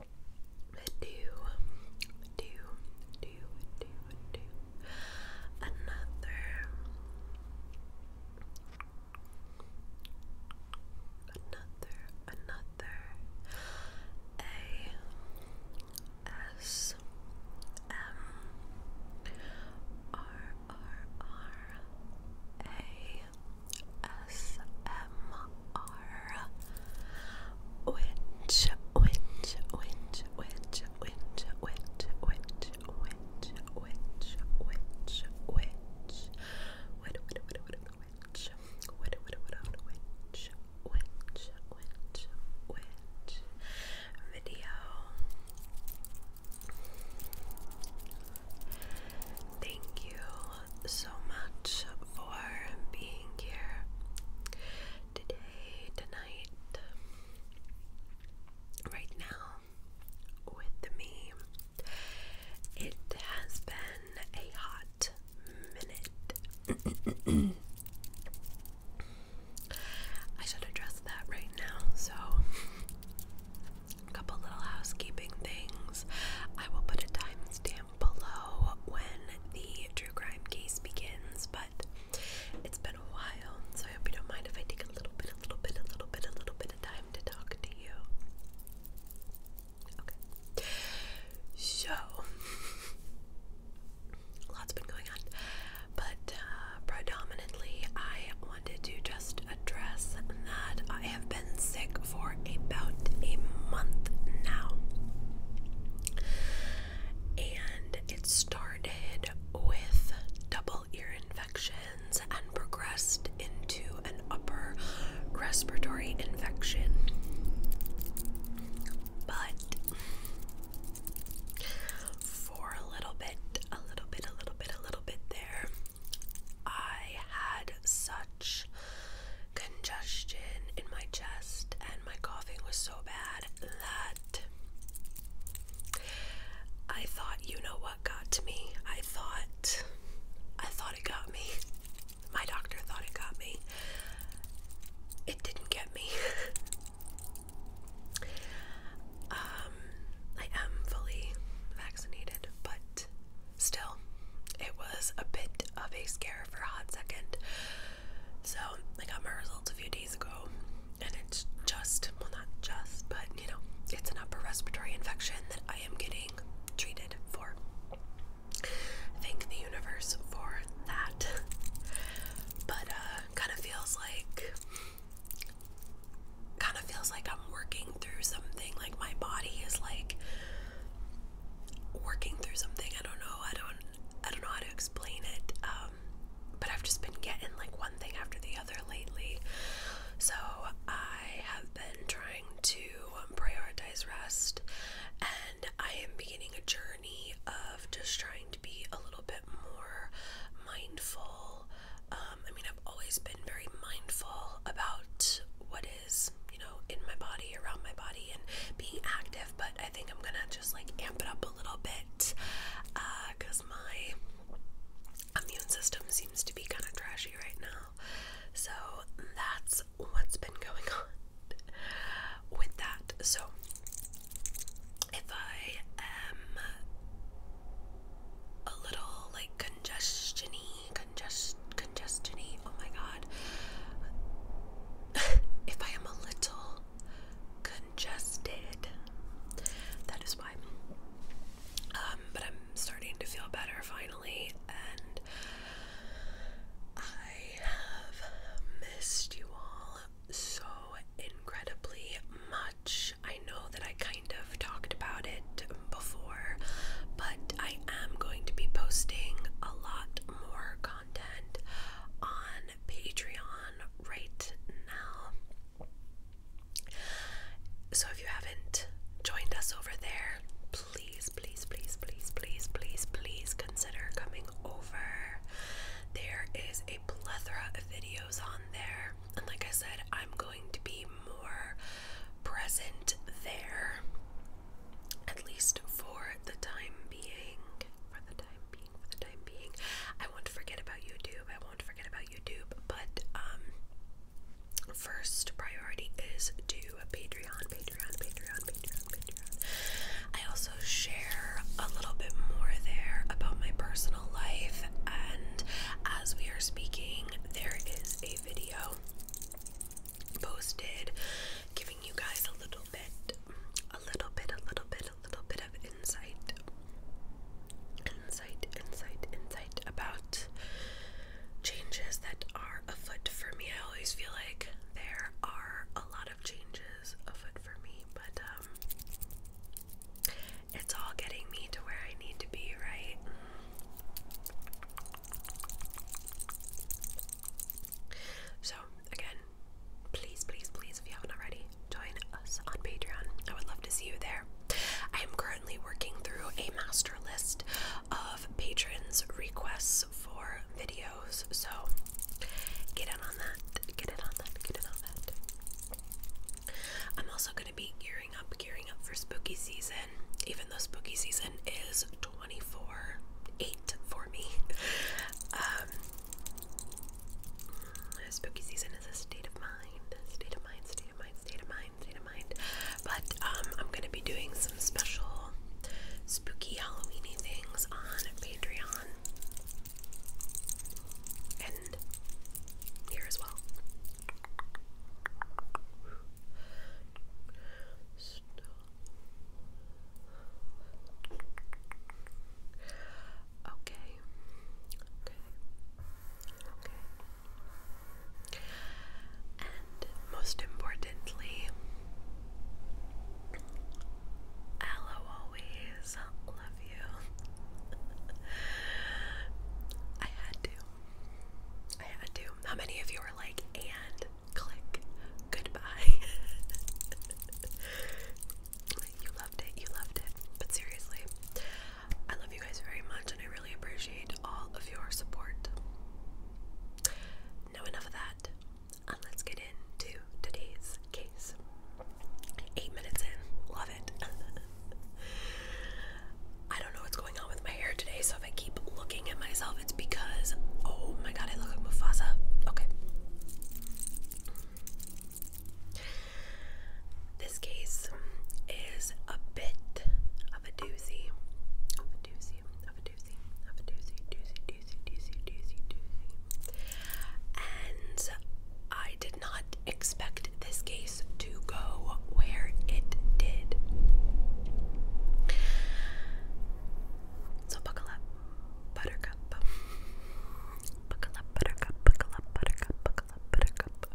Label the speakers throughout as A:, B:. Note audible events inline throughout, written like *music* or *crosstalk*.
A: do, do, do, do, do another, another, another A S M R R R A ASMR which which which which which which which which which which which which which which which which which video Thank you so much for being here today, tonight, right now with me. It has been a hot minute. *clears throat* I should address that right now, so a couple little housekeeping things. I will put a timestamp below when the true crime case begins, but it's been a while, so I hope you don't mind if I take a little bit, a little bit, a little bit, a little bit of time to talk to you. Okay. So, *laughs* lots been going on, but uh, predominantly I wanted to just just address that I have been sick for about a month now. And it started with double ear infections and progressed into an upper respiratory infection. But for a little bit, a little bit, a little bit, a little bit there, I had such congestion in my chest and my coughing was so bad that I thought, you know what got to me? I thought, I thought it got me. My doctor thought it got me. It didn't get me. *laughs* um, I am fully vaccinated, but still, it was a bit of a scare for a hot second. So I got my results a few days ago, and it's just well, not just, but you know, it's an upper respiratory infection that I am getting treated for. Thank the universe for that. But uh, kind of feels like, kind of feels like I'm working through something. Like my body is like working through something. I don't know. I don't. I don't know how to explain it. Um, but I've just been getting like one thing after the other lately. So I have been trying to prioritize rest, and I am beginning a journey of just trying to be a little bit more mindful. Um, I mean, I've always been very mindful about what you know, in my body, around my body, and being active. But I think I'm gonna just like amp it up a little bit because uh, my immune system seems to be kind of trashy right now. So that's what's been going *laughs* on with that. So if I am a little like congestiony, congest, congestiony. Oh my god! *laughs* if I am a little congested, that is why. Um, but I'm starting to feel better finally, and I have missed you all so incredibly much. I know that I kind kind of talked about it before, but I am going to be posting a lot more content on Patreon right now. So if you haven't joined us over there, please, please, please, please, please, please, please consider coming over. There is a plethora of videos on there, and like I said, I'm going to be more present there, at least for the time being. For the time being, for the time being, I won't forget about YouTube. I won't forget about YouTube, but um, first priority is to Patreon, Patreon, Patreon, Patreon, Patreon. I also share a little bit more there about my personal life, and as we are speaking, there is a video posted, giving you guys a little bit, a little bit, a little bit, a little bit of insight, insight, insight, insight about changes that are afoot for me. I always feel like there are a lot of changes afoot for me, but um, it's all getting me to where I need to be, right? So, again, please, please, please, if you haven't already, join us on Patreon. I would love to see you there. I am currently working through a master list of patrons' requests for videos, so get in on that. Get in on that. Get in on that. I'm also be gearing up, gearing up for spooky season, even though spooky season is 24 8 for me. Um, spooky season is a state of mind, state of mind, state of mind, state of mind, state of mind. But um, I'm going to be doing some special spooky Halloweeny things on Patreon and here as well. Stop. Okay. Okay. Okay. And most importantly, i always love you. *laughs* I had to. I had to. How many of you are like, and click goodbye? *laughs* you loved it, you loved it. But seriously, I love you guys very much and I really appreciate all of your support. Now, enough of that. And let's get into today's case. Eight minutes in. Love it. *laughs* *laughs* I don't know what's going on with my hair today, so if I keep looking at myself, it's because oh my god, I look like Mufasa. Okay. This case is a bit of a doozy. Of a doozy, of a doozy, of a doozy, doozy, doozy, doozy, doozy, doozy. And I did not expect this game so buckle up, buttercup. Buckle up, buttercup, buttercup, buttercup.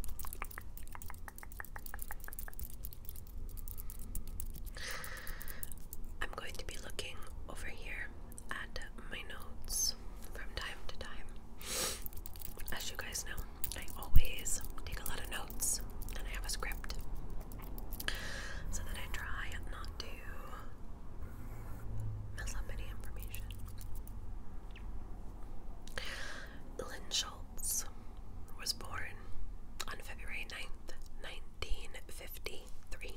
A: I'm going to be looking over here at my notes from time to time. As you guys know, I always take a lot of notes and I have a script so that I try not to mess up any information. Lynn Schultz was born on February 9th, 1953.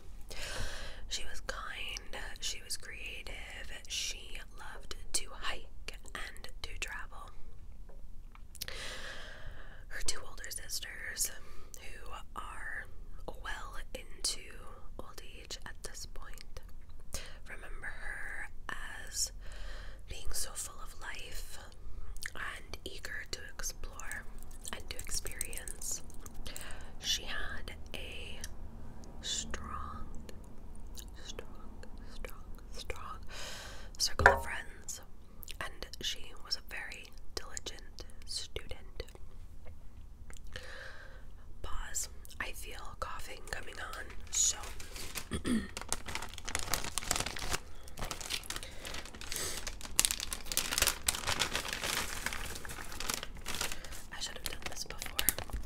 A: She was kind, she was creative, she loved to hike and to travel. Her two older sisters, who are well into old age at this point, remember her as being so full of life and eager to explore and to experience. She had a strong, strong, strong strong circle of friends, and she was a very diligent student. Pause. I feel coughing coming on, so *clears throat* I should have done this before.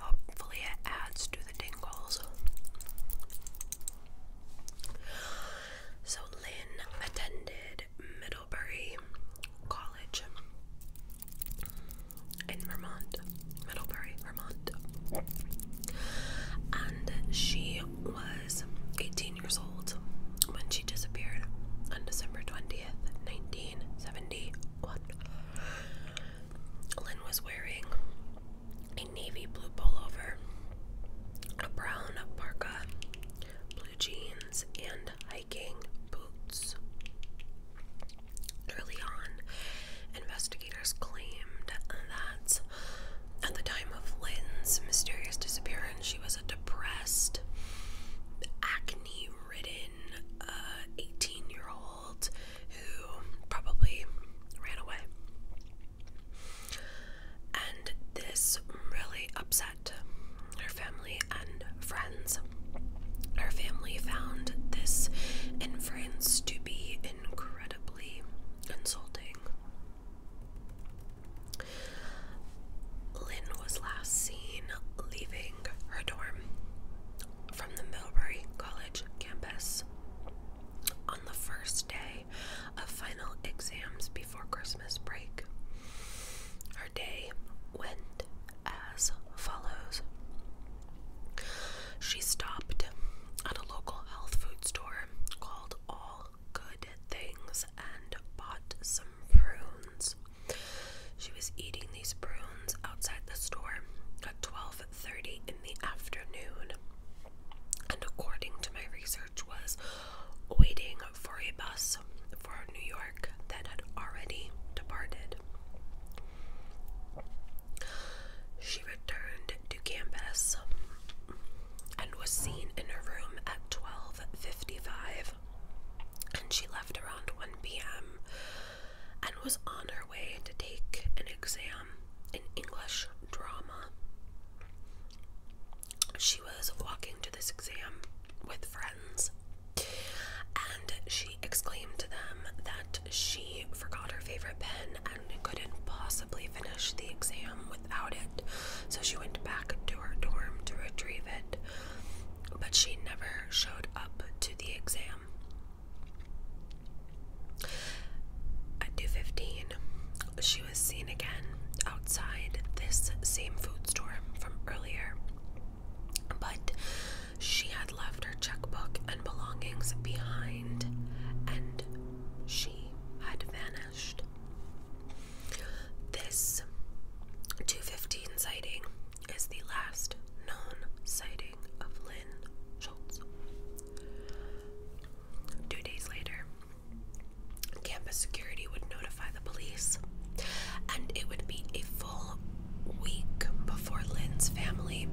A: Hopefully, it adds to the tingles. So, Lynn attended Middlebury College in Vermont, Middlebury, Vermont. And she was 18 years old when she disappeared on December 20th, 1971. Lynn was wearing a navy blue pullover, a brown parka, blue jeans, and hiking boots. Early on, investigators claimed that at the time of Lynn's mysterious disappearance, she was a depressed, acne ridden uh, 18 year old who probably ran away. And this really upset her family and friends. Her family found this inference to be incredibly insulting. Lynn was last seen leaving her dorm from the Millbury College campus on the first day of final exams before Christmas break. Her day went as follows. She stopped at a local health food store called All Good Things and bought some prunes. She was eating these prunes outside the store at 12:30 in the afternoon and according to my research was waiting for a bus for New York that had already departed. She returned to campus and was seen in her room at 12:55 and she left around 1 p.m and was on her way to take an exam in English drama. She was walking to this exam with friends and she exclaimed to them that she forgot her favorite pen and couldn't possibly finish the exam without it. So she went back to her dorm to retrieve it but she never showed up to the exam. At 2:15, she was seen again outside this same food store from earlier, but she had left her checkbook and belongings behind, and she had vanished. This 215 sighting is the last known sighting of Lynn Schultz. Two days later, campus security would notify the police, and it would be a full week before Lynn's family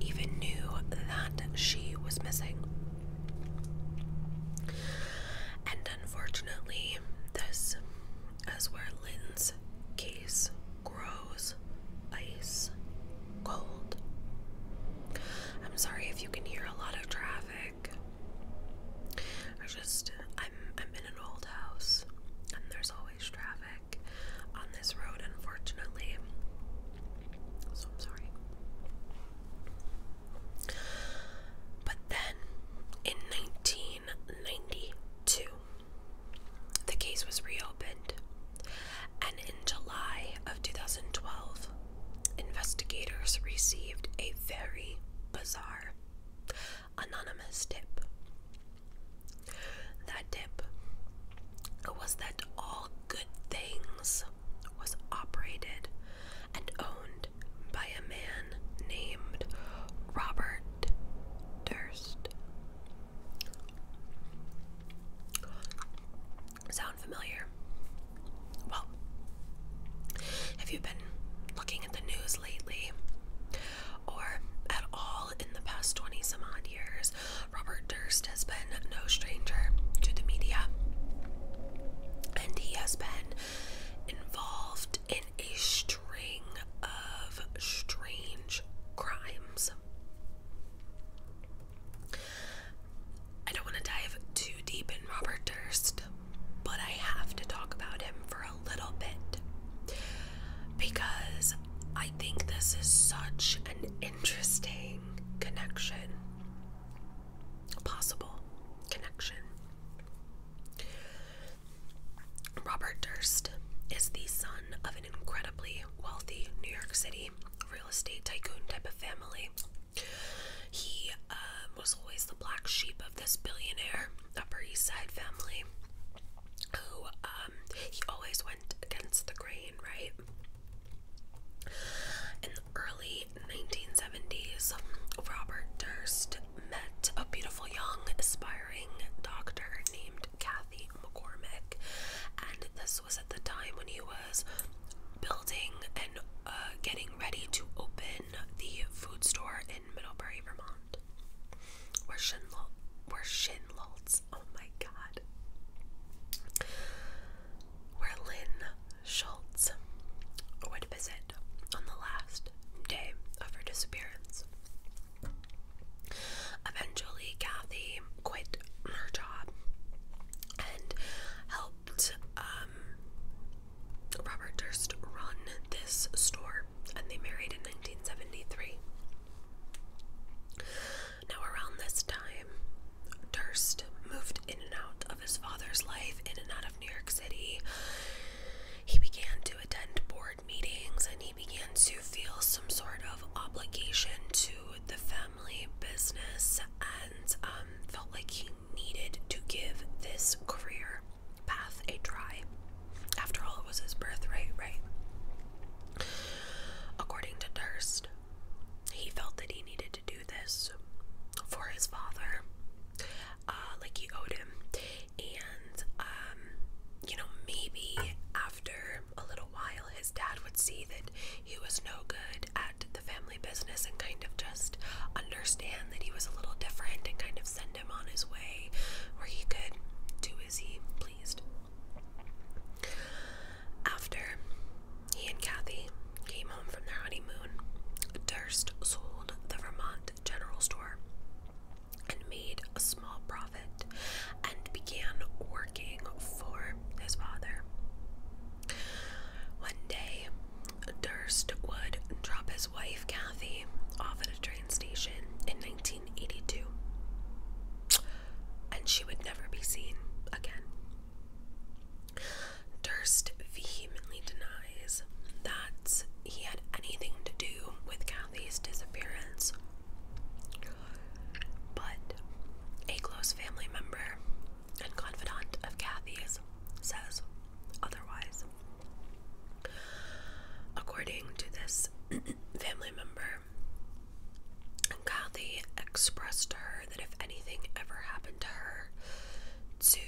A: even knew that she was missing. And unfortunately, this is where Lynn's case grows ice cold. I'm sorry if you can hear a lot of traffic. I just I'm I'm in an old house and there's always traffic on this road unfortunately. So I'm sorry. But then in 1992, the case was reopened, and in July of 2012, investigators received a very bizarre anonymous tip. That tip was that all good things was operated and owned by a man named Robert Durst. Sound familiar? Well, have you been looking at the news lately? Or at all in the past 20 some odd years, Robert Durst has been no stranger to the media. And he has been involved in a string of strange crimes. I don't want to dive too deep in Robert Durst, but I have to talk about him for a little bit because I think this is such an interesting connection, possible connection. Robert Durst is the son of an incredibly wealthy New York City real estate tycoon type of family. He uh, was always the black sheep of this billionaire Upper East Side family who um, he always went against the grain, right? In the early 1970s, Robert Durst met a beautiful young aspiring doctor named Kathy McCormick, and this was at the time when he was building and uh, getting ready to open the food store in Middlebury, Vermont, where Shinlolt, where Shinlolt's, oh my god, where Lynn Schultz would visit on the last day of her disappearance. Eventually, Kathy quit her job and helped um, Robert Durst run this store, and they married in 1973. Now, around this time, Durst moved in and out of his father's life, in and out of New York City. He began to attend board meetings and he began to feel some sort of obligation to the family business and um, felt like he needed to give this career path a try. After all, it was his birthright, right? According to Durst, he felt that he needed to do this for his father. Uh, like he owed him and um, you know, maybe after a little while, his dad would see that he was no good at the family business and kind of just understand that he was a little different and kind of send him on his way where he could do as he pleased. After he and Kathy came home from their honeymoon, Durst sold the Vermont General Store and made a small profit and began working for his father. One day, Durst would drop his wife Kathy off at a train station in 1982, and she would never be seen again. Durst vehemently denies that he had anything to do with Kathy. Southeast disappearance, but a close family member and confidant of Kathy's says otherwise. According to this *clears throat* family member, Kathy expressed to her that if anything ever happened to her, to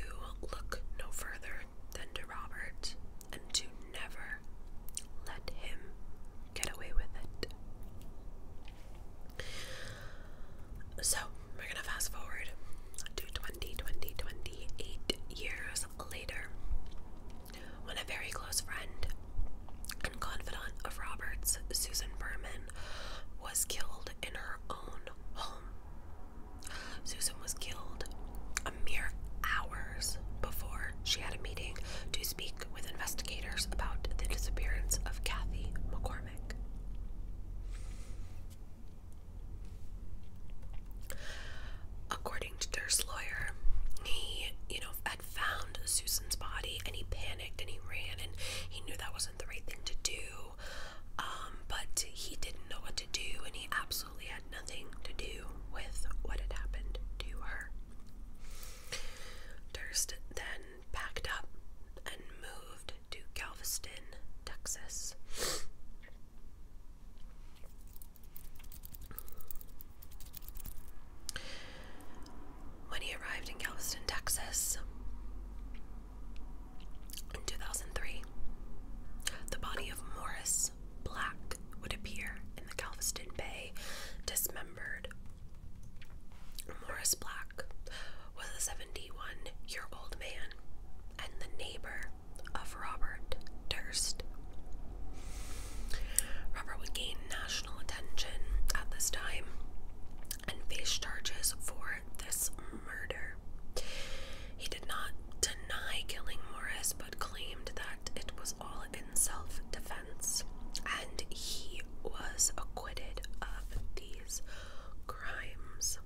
A: look no further than to Robert and to never let him get away with it. So, we're gonna fast forward to 20, years later when a very close friend and confidant of Robert's, Susan Berman, was killed in her own home. Susan was killed mere hours before she had a meeting to speak with investigators about the disappearance of Kathy McCormick. According to Durst's lawyer, he, you know, had found Susan's body and he panicked and he ran and he knew that wasn't the right thing to do. Um, but he didn't know what to do and he absolutely had nothing to do with what had happened to her. Durst then packed up and moved to Galveston, Texas. When he arrived in Galveston, Texas in 2003, the body of Morris Black would appear in the Galveston Bay dismembered. Morris Black was a 71 year old man and the neighbor of Robert Durst. Robert would gain national attention at this time and face charges for this murder. He did not deny killing Morris but claimed that it was all in self defense. And he was acquitted of these crimes.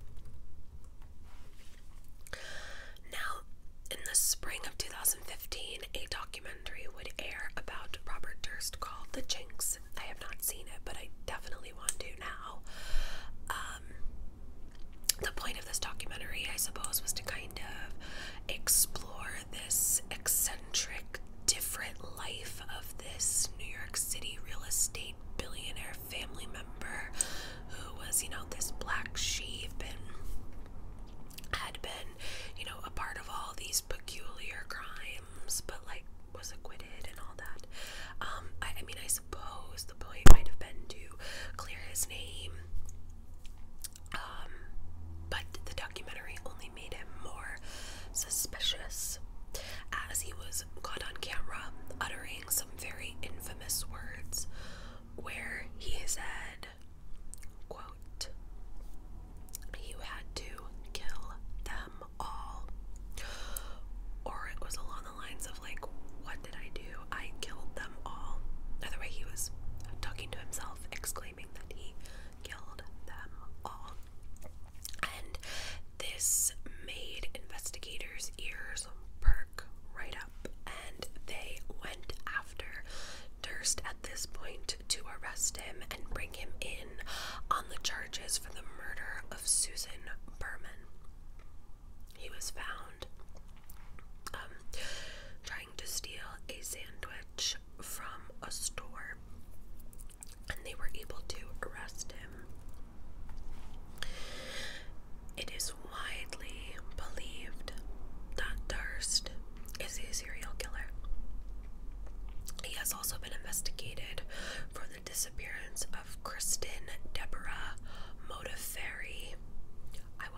A: Now, in the spring of 2015, a documentary would air about Robert Durst called The Jinx. I have not seen it, but I definitely want to now. Um, the point of this documentary, I suppose, was to kind of explore this eccentric, different life of this New York City real estate billionaire family member who was, you know, this black sheep and had been, you know, a part of all these peculiar crimes, but like was acquitted and all that. Um, I mean, I suppose the point might have been to clear his name um, but the documentary only made him more suspicious as he was caught on camera uttering some very infamous words where he said, quote, you had to kill them all. Or it was along the lines of like, what did I do? I killed them all. Either way, he was talking to himself, exclaiming that he killed them all. And this made investigators' ears perk right up, and they went after Durst at this point to arrest him and bring him in on the charges for the murder of Susan Berman. He was found um, trying to steal a sandwich from a store, and they were able to arrest him. It is widely believed that Durst is a serial killer. He has also been investigated for the disappearance of Kristen Deborah Modafferi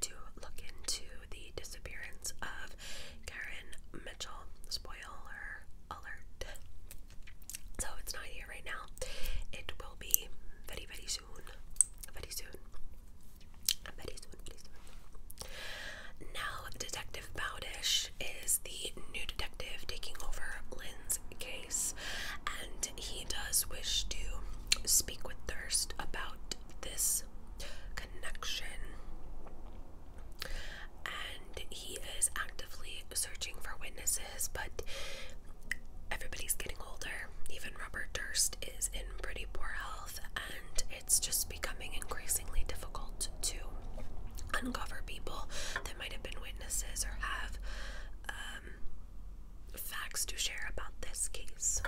A: to look into the disappearance of Karen Mitchell. Spoiler alert. So it's not here right now. It will be very, very soon. Very soon. Very soon, very soon. Now, Detective Bowdish is the new detective taking over Lynn's case, and he does wish to speak with Thirst about this connection. And he is actively searching for witnesses, but everybody's getting older. Even Robert Durst is in pretty poor health, and it's just becoming increasingly difficult to uncover people that might have been witnesses or have um, facts to share about this case.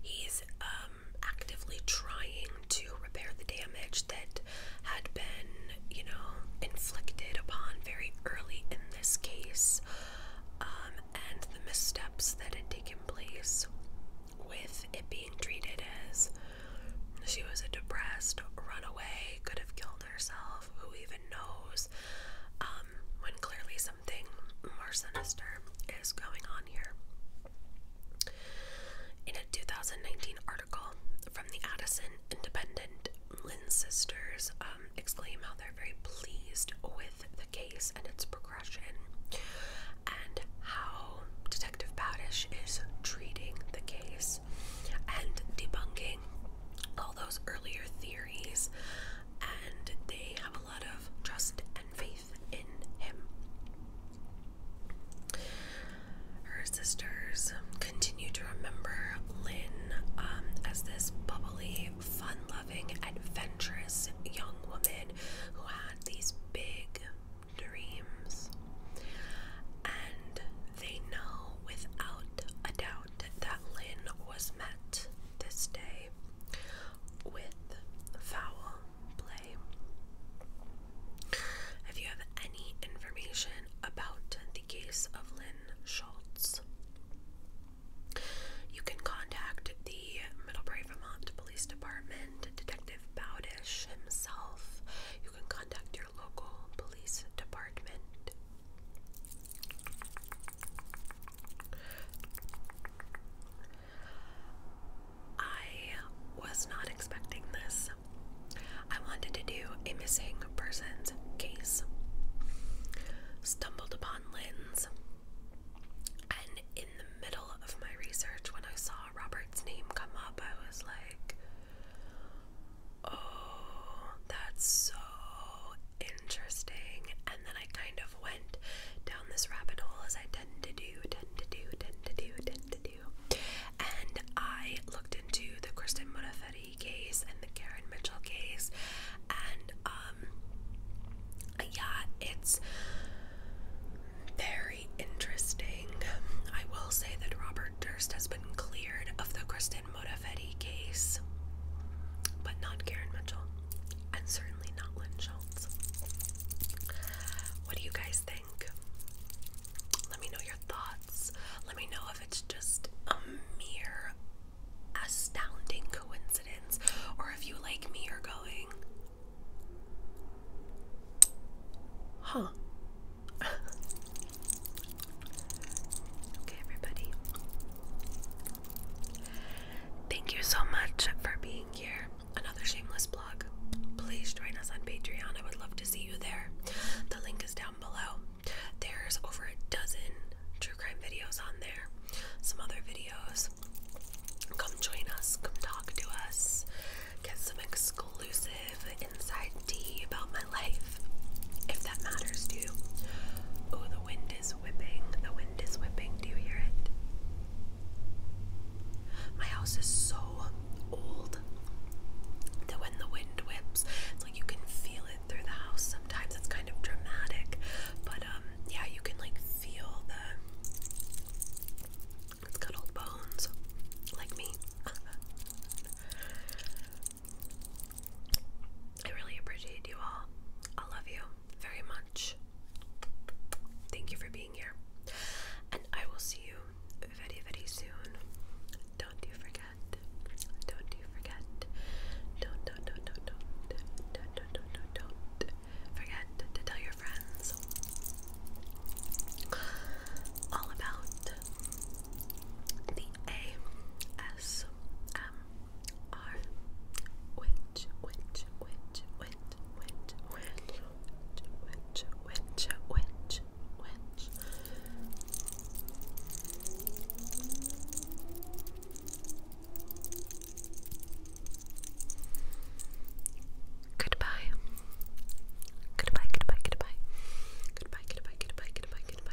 A: He's um, actively trying to repair the damage that had been, you know, inflicted upon very early in this case um, and the missteps that had taken place with it being treated as she was a depressed runaway, could have killed herself, who even knows, um, when clearly something more sinister is going on here. In a 2019 article from the Addison Independent, Lynn sisters um, exclaim how they're very pleased with the case and its progression, and how Detective Badish is treating the case and debunking all those earlier theories and they have a lot of trust and faith in him. Her sisters continue to remember Lynn um, as this bubbly, fun loving, adventurous young woman who had these big dreams. And they know without a doubt that Lynn was met this day with foul play. If you have any information about the case of Lynn Schultz, you can contact the Middlebury, Vermont Police Department, Detective Bowdish himself. You can contact your local police department. I was not expecting this. I wanted to do a missing persons case. Stumbled upon Lynn's. And in the middle of my research, when I saw Robert's name come up, I was like, oh, that's so interesting. And then I kind of went down this rabbit hole as I tend to do, tend to do, tend to do, tend to do. And I looked into the Kristen Murafetti case and the Karen Mitchell case. And um yeah, it's very interesting. I will say that Robert Durst has been cleared of the Kristen and Modaffetti case, but not Karen Mitchell, and certainly not Lynn Schultz. What do you guys think? Let me know your thoughts. Let me know if it's just a mere astounding coincidence or if you, like me, are going, huh? *laughs* Okay, everybody. Thank you so much for being here. Another shameless plug. Please join us on Patreon. I would love to see you there. The link is down below. There's over a dozen true crime videos on there, some other videos. Come join us, come talk to us, get some exclusive inside tea about my life if that matters to you. Oh, the wind is whipping. The wind is whipping. Do you hear it? My house is so old that when the wind whips, it's like you can feel it through the house. Sometimes it's kind of dramatic, but um, yeah, you can like feel the. It's got old bones, like me. *laughs* I really appreciate you all. I love you very much. Thank you for being here. And I will see you very, very soon. Don't you forget. Don't you forget. Don't, don't, don't, don't, don't. Don't, don't, don't, don't, Forget to tell your friends all about the ASMR are witch witch witch witch which, which, which, which, which, which. Goodbye. Goodbye, goodbye, goodbye. Goodbye, goodbye, goodbye, goodbye, goodbye,